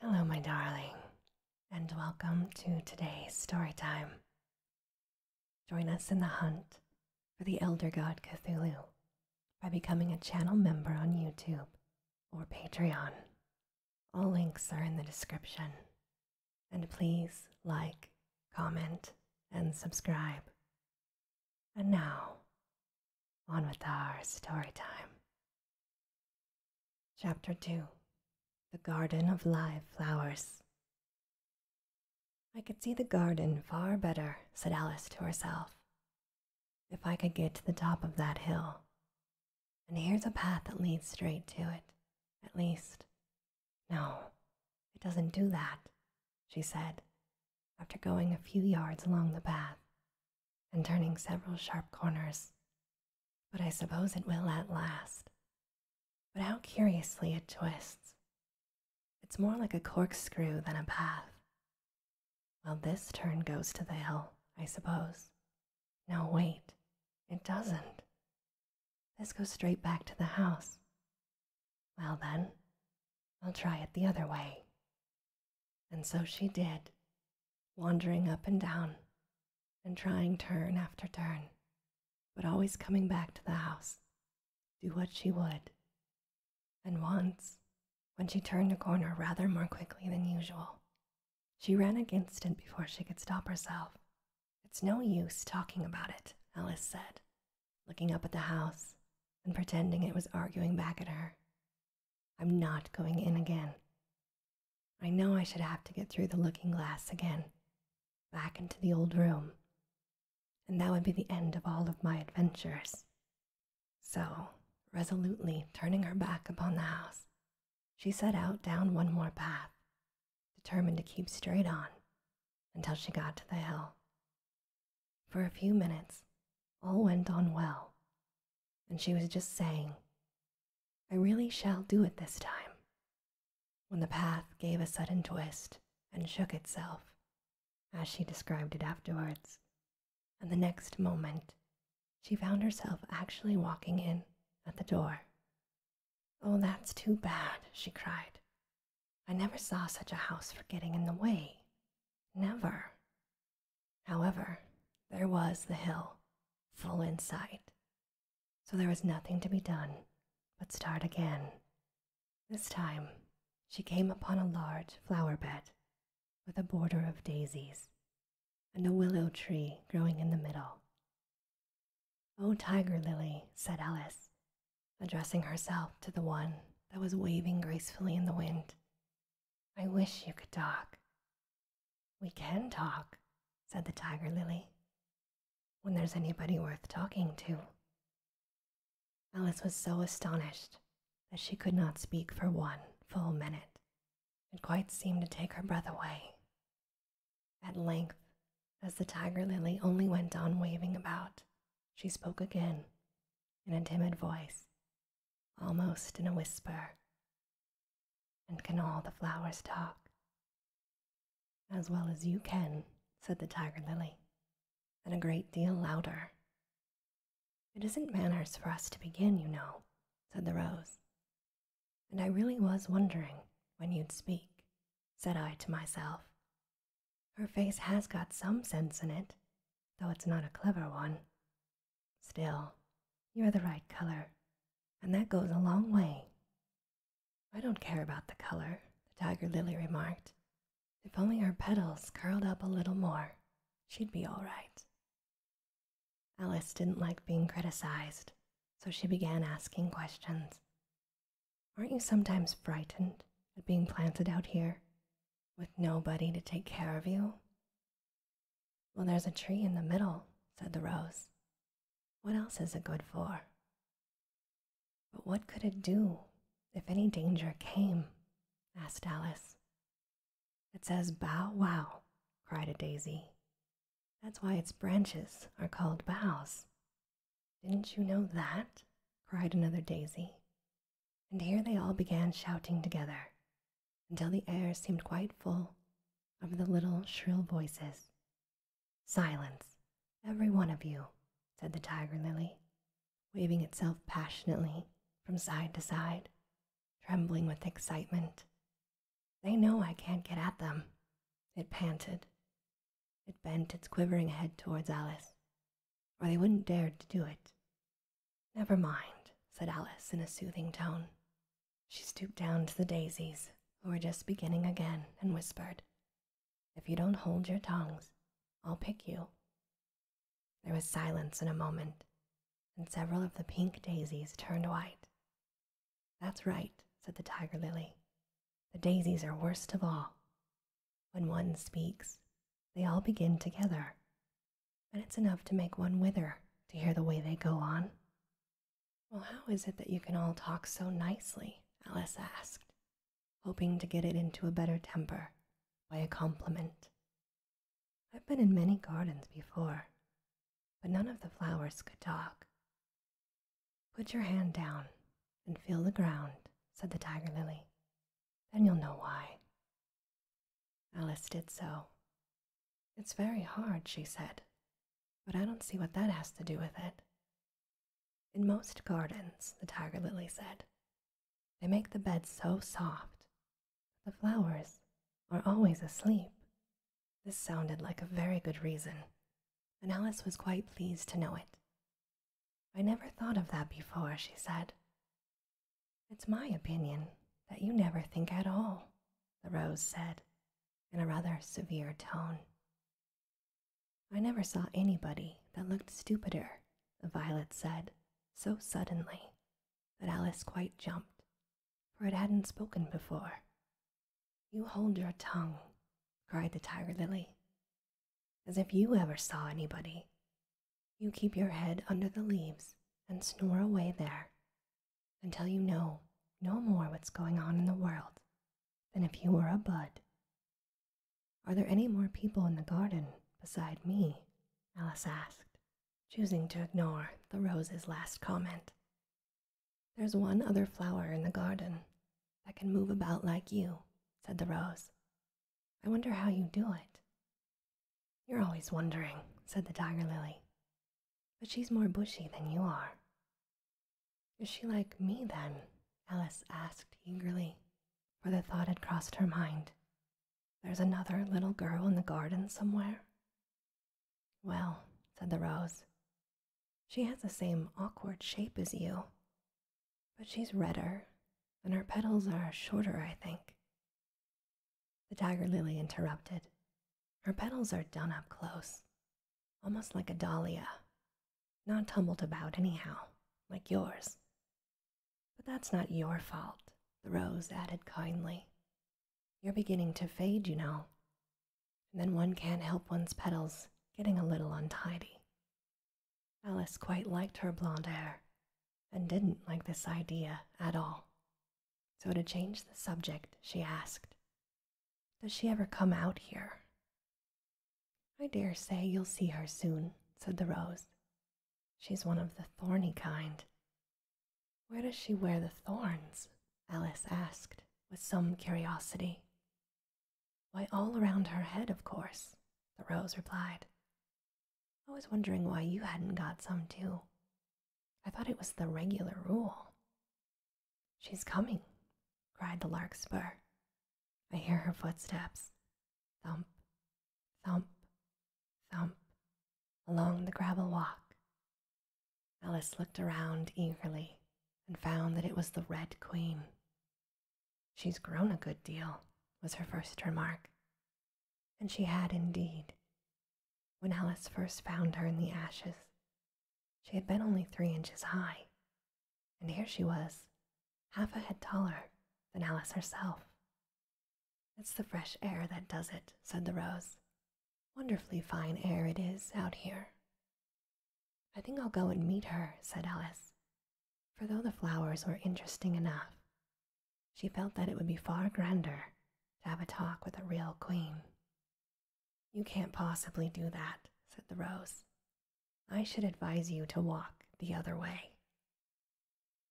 Hello, my darling, and welcome to today's story time. Join us in the hunt for the Elder God Cthulhu by becoming a channel member on YouTube or Patreon. All links are in the description. And please like, comment, and subscribe. And now, on with our story time. Chapter 2 The Garden of Live Flowers. I could see the garden far better, said Alice to herself, if I could get to the top of that hill. And here's a path that leads straight to it, at least. No, it doesn't do that, she said, after going a few yards along the path and turning several sharp corners, but I suppose it will at last. But how curiously it twists! It's more like a corkscrew than a path. Well, this turn goes to the hill, I suppose. No, wait, it doesn't. This goes straight back to the house. Well, then, I'll try it the other way. And so she did, wandering up and down and trying turn after turn, but always coming back to the house, do what she would. And once, when she turned a corner rather more quickly than usual, she ran against it before she could stop herself. It's no use talking about it, Alice said, looking up at the house and pretending it was arguing back at her. I'm not going in again. I know I should have to get through the looking glass again, back into the old room, and that would be the end of all of my adventures. So, resolutely turning her back upon the house, she set out down one more path, determined to keep straight on until she got to the hill. For a few minutes, all went on well and she was just saying, I really shall do it this time, when the path gave a sudden twist and shook itself, as she described it afterwards, and the next moment she found herself actually walking in at the door. Oh, that's too bad, she cried. I never saw such a house for getting in the way. Never. However, there was the hill full in sight, so there was nothing to be done but start again. This time, she came upon a large flower bed with a border of daisies and a willow tree growing in the middle. Oh, tiger lily, said Alice, addressing herself to the one that was waving gracefully in the wind. I wish you could talk. We can talk, said the tiger lily, when there's anybody worth talking to. Alice was so astonished that she could not speak for one full minute. It quite seemed to take her breath away. At length, as the tiger lily only went on waving about, she spoke again in a timid voice almost in a whisper. And can all the flowers talk? As well as you can, said the tiger lily, and a great deal louder. It isn't manners for us to begin, you know, said the rose. And I really was wondering when you'd speak, said I to myself. Her face has got some sense in it, though it's not a clever one, Still, you're the right color, and that goes a long way. I don't care about the color, the tiger lily remarked. If only her petals curled up a little more, she'd be all right. Alice didn't like being criticized, so she began asking questions. Aren't you sometimes frightened at being planted out here? with nobody to take care of you? Well, there's a tree in the middle, said the rose. What else is it good for? But what could it do if any danger came? asked Alice. It says bow wow, cried a daisy. That's why its branches are called bows." Didn't you know that? cried another daisy and here they all began shouting together until the air seemed quite full of the little shrill voices. Silence, every one of you, said the tiger lily, waving itself passionately from side to side, trembling with excitement. They know I can't get at them, it panted. It bent its quivering head towards Alice, or they wouldn't dare to do it. Never mind, said Alice in a soothing tone. She stooped down to the daisies, who were just beginning again, and whispered, If you don't hold your tongues, I'll pick you. There was silence for a moment, and several of the pink daisies turned white. That's right, said the tiger lily. The daisies are worst of all. When one speaks, they all begin together, and it's enough to make one wither to hear the way they go on. Well, how is it that you can all talk so nicely? Alice asked, hoping to get it into a better temper by a compliment. I've been in many gardens before, but none of the flowers could talk. Put your hand down and feel the ground, said the tiger lily, then you'll know why. Alice did so. It's very hard, she said, but I don't see what that has to do with it. In most gardens, the tiger lily said, they make the beds so soft the flowers are always asleep. This sounded like a very good reason, and Alice was quite pleased to know it. I never thought of that before, she said. It's my opinion that you never think at all, the rose said in a rather severe tone. I never saw anybody that looked stupider, the violet said so suddenly that Alice quite jumped, for it hadn't spoken before. You hold your tongue, cried the tiger lily, as if you ever saw anybody you keep your head under the leaves and snore away there until you know no more what's going on in the world than if you were a bud. Are there any more people in the garden beside me? Alice asked, choosing to ignore the rose's last comment. There's one other flower in the garden that can move about like you, said the rose, I wonder how you do it. You're always wondering, said the tiger lily. But she's more bushy than you are. Is she like me then? Alice asked eagerly, for the thought had crossed her mind. There's another little girl in the garden somewhere. Well, said the rose, she has the same awkward shape as you but she's redder, and her petals are shorter, I think. The tiger lily interrupted. Her petals are done up close, almost like a dahlia, not tumbled about anyhow, like yours. But that's not your fault, the rose added kindly. You're beginning to fade, you know. And then one can't help one's petals getting a little untidy. Alice quite liked her blonde hair and didn't like this idea at all. So, to change the subject, she asked, Does she ever come out here? I dare say you'll see her soon, said the rose. She's one of the thorny kind. Where does she wear the thorns? Alice asked with some curiosity. Why, all around her head, of course, the rose replied. I was wondering why you hadn't got some too. I thought it was the regular rule. She's coming, cried the larkspur. I hear her footsteps thump, thump, thump along the gravel walk. Alice looked around eagerly and found that it was the Red Queen, She's grown a good deal, was her first remark. And she had indeed. When Alice first found her in the ashes, she had been only three inches high, and here she was, half a head taller than Alice herself. It's the fresh air that does it, said the rose. Wonderfully fine air it is out here. I think I'll go and meet her, said Alice, for though the flowers were interesting enough, she felt that it would be far grander to have a talk with a real queen. You can't possibly do that, said the rose. I should advise you to walk the other way.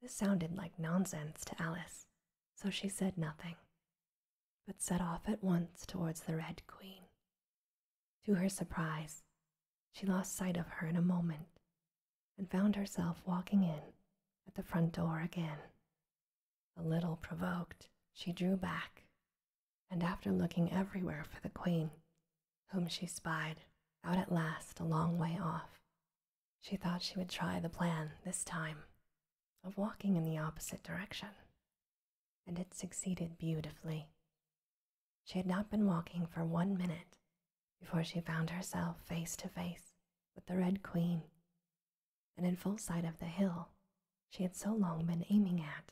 This sounded like nonsense to Alice, so she said nothing, but set off at once towards the Red Queen. To her surprise, she lost sight of her in a moment and found herself walking in at the front door again. A little provoked, she drew back, and after looking everywhere for the queen, whom she spied out at last a long way off, she thought she would try the plan this time of walking in the opposite direction, and it succeeded beautifully. She had not been walking for one minute before she found herself face to face with the Red Queen, and in full sight of the hill she had so long been aiming at.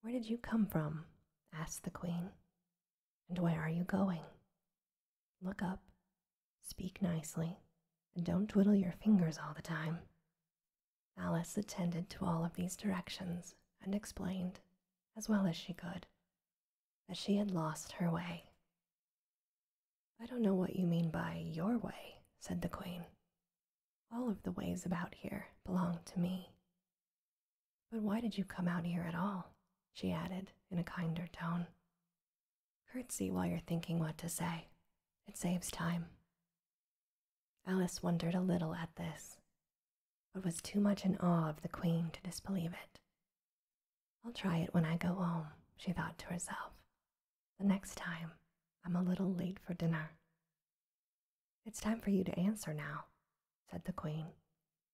Where did you come from? asked the Queen, and where are you going? Look up, speak nicely, and don't twiddle your fingers all the time. Alice attended to all of these directions and explained as well as she could, that she had lost her way. I don't know what you mean by your way, said the queen. All of the ways about here belong to me. But why did you come out here at all? she added in a kinder tone. Curtsy while you're thinking what to say. It saves time. Alice wondered a little at this but was too much in awe of the queen to disbelieve it. I'll try it when I go home, she thought to herself. The next time, I'm a little late for dinner. It's time for you to answer now, said the queen,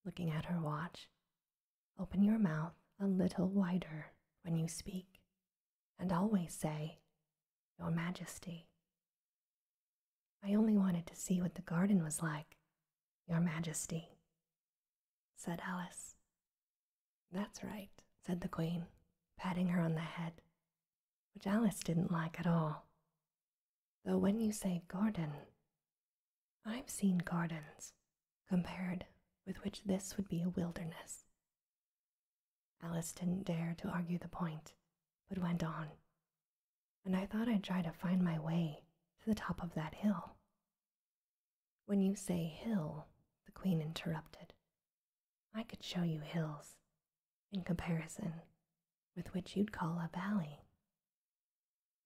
looking at her watch. Open your mouth a little wider when you speak, and always say, Your Majesty. I only wanted to see what the garden was like, Your Majesty, said Alice. That's right, said the Queen, patting her on the head, which Alice didn't like at all. Though when you say garden, I've seen gardens compared with which this would be a wilderness. Alice didn't dare to argue the point, but went on, and I thought I'd try to find my way to the top of that hill. When you say hill, the queen interrupted, I could show you hills in comparison with which you'd call a valley.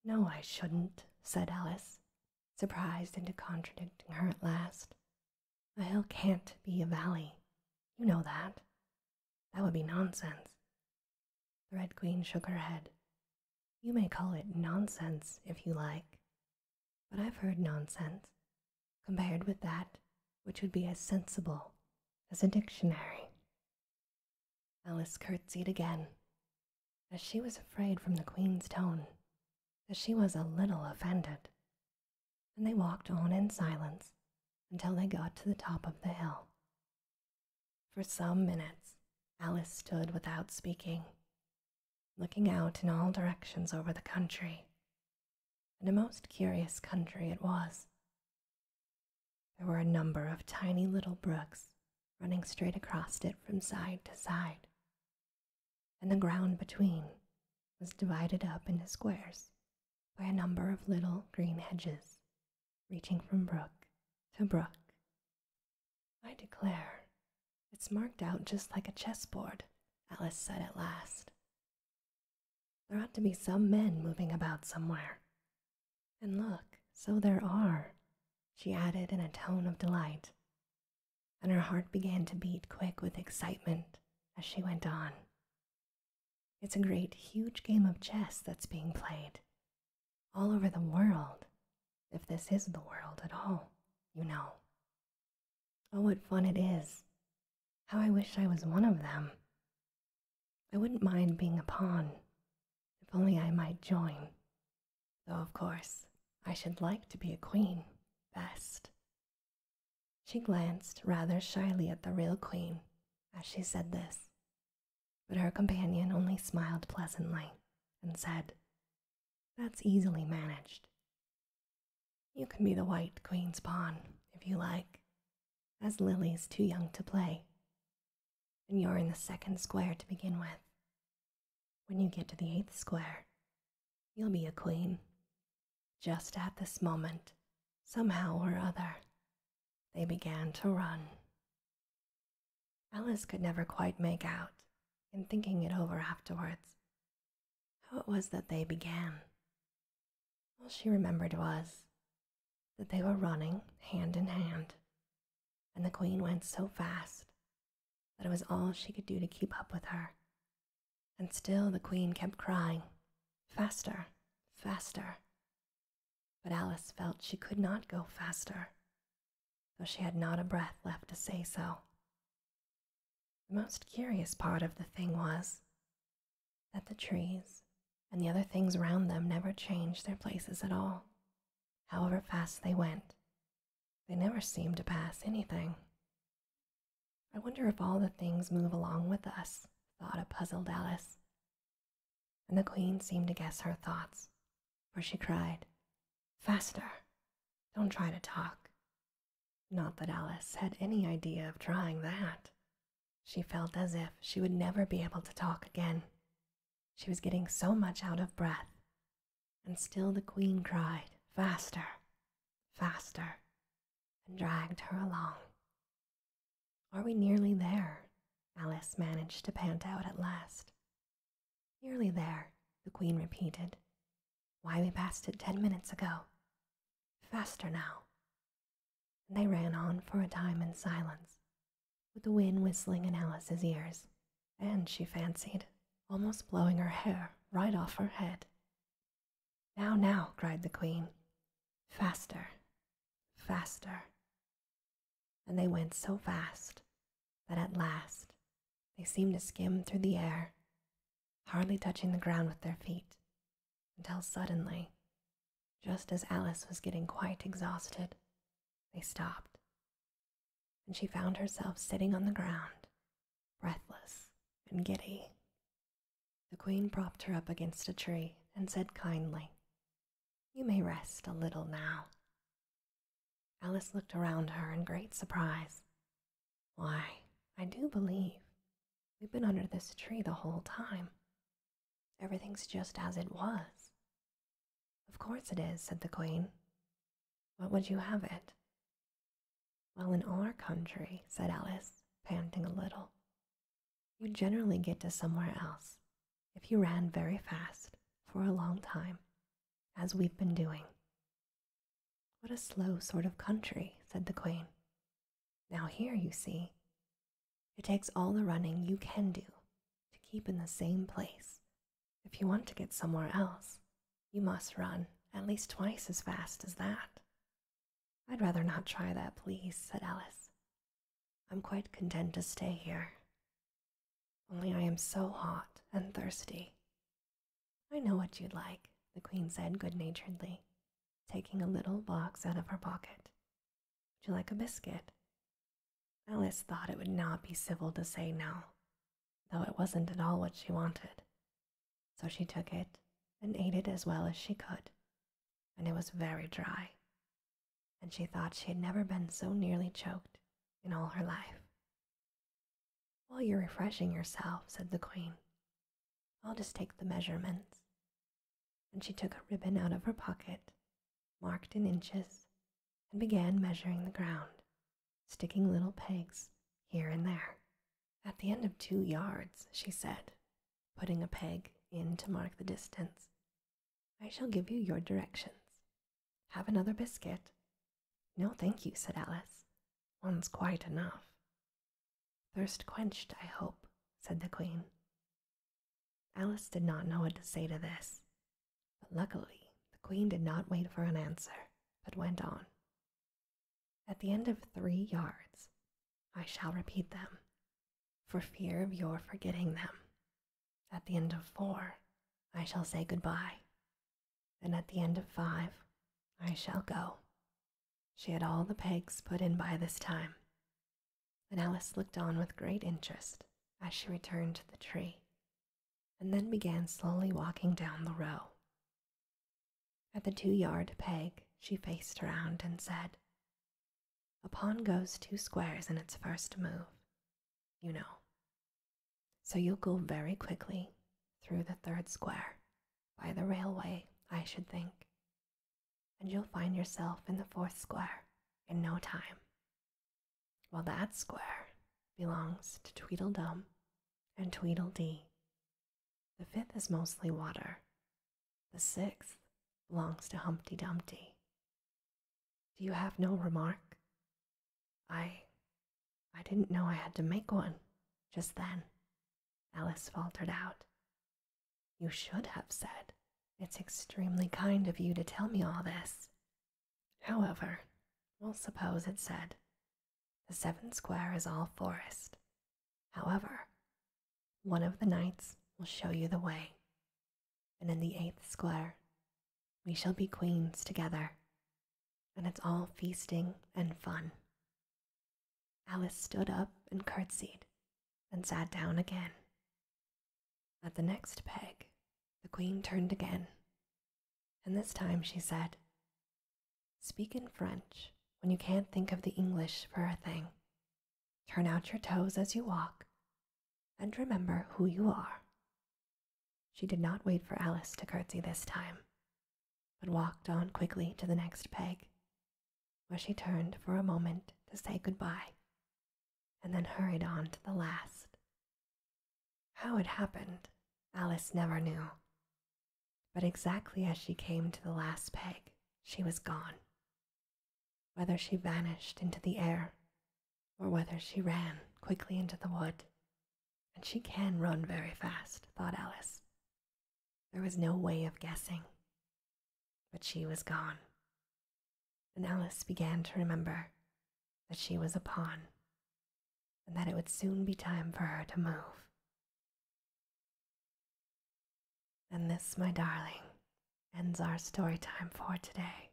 No, I shouldn't, said Alice, surprised into contradicting her at last. A hill can't be a valley. You know that. That would be nonsense. The Red Queen shook her head. You may call it nonsense if you like, but I've heard nonsense compared with that which would be as sensible as a dictionary. Alice curtsied again, as she was afraid from the Queen's tone that she was a little offended, and they walked on in silence until they got to the top of the hill. For some minutes, Alice stood without speaking, looking out in all directions over the country. And a most curious country it was. There were a number of tiny little brooks running straight across it from side to side, and the ground between was divided up into squares by a number of little green hedges reaching from brook to brook. I declare, it's marked out just like a chessboard, Alice said at last. There ought to be some men moving about somewhere. And look, so there are, she added in a tone of delight, and her heart began to beat quick with excitement as she went on. It's a great, huge game of chess that's being played all over the world, if this is the world at all, you know. Oh, what fun it is! How I wish I was one of them. I wouldn't mind being a pawn, if only I might join. Though, of course, I should like to be a queen best. She glanced rather shyly at the real queen as she said this, but her companion only smiled pleasantly and said, That's easily managed. You can be the white queen's pawn if you like, as Lily's too young to play, and you're in the second square to begin with. When you get to the eighth square, you'll be a queen just at this moment, somehow or other, they began to run. Alice could never quite make out, in thinking it over afterwards, how it was that they began. All she remembered was that they were running hand in hand, and the queen went so fast that it was all she could do to keep up with her. And still the queen kept crying, Faster, faster. But Alice felt she could not go faster, though she had not a breath left to say so. The most curious part of the thing was that the trees and the other things round them never changed their places at all. However fast they went, they never seemed to pass anything. I wonder if all the things move along with us, thought a puzzled Alice. And the queen seemed to guess her thoughts, for she cried, Faster! Don't try to talk. Not that Alice had any idea of trying that. She felt as if she would never be able to talk again. She was getting so much out of breath. And still the queen cried, Faster! Faster! and dragged her along are we nearly there? Alice managed to pant out at last. Nearly there, the Queen repeated. Why, we passed it ten minutes ago. Faster now. they ran on for a time in silence, with the wind whistling in Alice's ears, and, she fancied, almost blowing her hair right off her head. Now, now, cried the queen, faster, faster. And they went so fast that at last they seemed to skim through the air, hardly touching the ground with their feet, until suddenly, just as Alice was getting quite exhausted, they stopped, and she found herself sitting on the ground, breathless and giddy, the queen propped her up against a tree and said kindly, You may rest a little now. Alice looked around her in great surprise. Why, I do believe we've been under this tree the whole time. Everything's just as it was. Of course it is, said the queen. What would you have it? Well, in our country, said Alice, panting a little, you generally get to somewhere else if you ran very fast for a long time, as we've been doing. What a slow sort of country, said the Queen. Now, here, you see, it takes all the running you can do to keep in the same place. If you want to get somewhere else, you must run at least twice as fast as that. I'd rather not try that, please, said Alice. I'm quite content to stay here. Only I am so hot and thirsty. I know what you'd like, the Queen said good naturedly, taking a little box out of her pocket. Would you like a biscuit? Alice thought it would not be civil to say no, though it wasn't at all what she wanted. So she took it and ate it as well as she could, and it was very dry, and she thought she had never been so nearly choked in all her life. While you're refreshing yourself, said the queen, I'll just take the measurements. And she took a ribbon out of her pocket, marked in inches, and began measuring the ground, sticking little pegs here and there at the end of two yards, she said, putting a peg in to mark the distance, I shall give you your directions. Have another biscuit. No, thank you, said Alice. One's quite enough. Thirst quenched, I hope, said the Queen. Alice did not know what to say to this, but luckily the Queen did not wait for an answer, but went on. At the end of three yards, I shall repeat them, for fear of your forgetting them. At the end of four, I shall say good-bye. and at the end of five, I shall go. She had all the pegs put in by this time, and Alice looked on with great interest as she returned to the tree, and then began slowly walking down the row. At the two yard peg, she faced round and said, A pawn goes two squares in its first move, you know. So you'll go very quickly through the third square, by the railway, I should think, and you'll find yourself in the fourth square in no time. Well, that square belongs to Tweedledum and Tweedledee, the fifth is mostly water. The sixth belongs to Humpty Dumpty. Do you have no remark? I. I didn't know I had to make one just then, Alice faltered out. You should have said, It's extremely kind of you to tell me all this. However, we'll suppose it said, the seventh square is all forest. However, one of the knights will show you the way, and in the eighth square we shall be queens together, and it's all feasting and fun. Alice stood up and curtsied, and sat down again. At the next peg, the queen turned again, and this time she said, Speak in French when you can't think of the English for a thing. Turn out your toes as you walk, and remember who you are. She did not wait for Alice to curtsy this time, but walked on quickly to the next peg, where she turned for a moment to say good-bye, and then hurried on to the last. How it happened, Alice never knew, but exactly as she came to the last peg, she was gone. Whether she vanished into the air, or whether she ran quickly into the wood, and she can run very fast, thought Alice. There was no way of guessing, but she was gone. And Alice began to remember that she was a pawn and that it would soon be time for her to move. And this, my darling, ends our story time for today.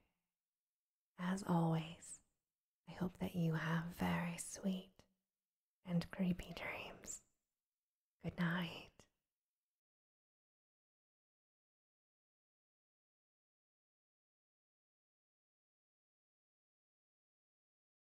As always, I hope that you have very sweet and creepy dreams. Good night.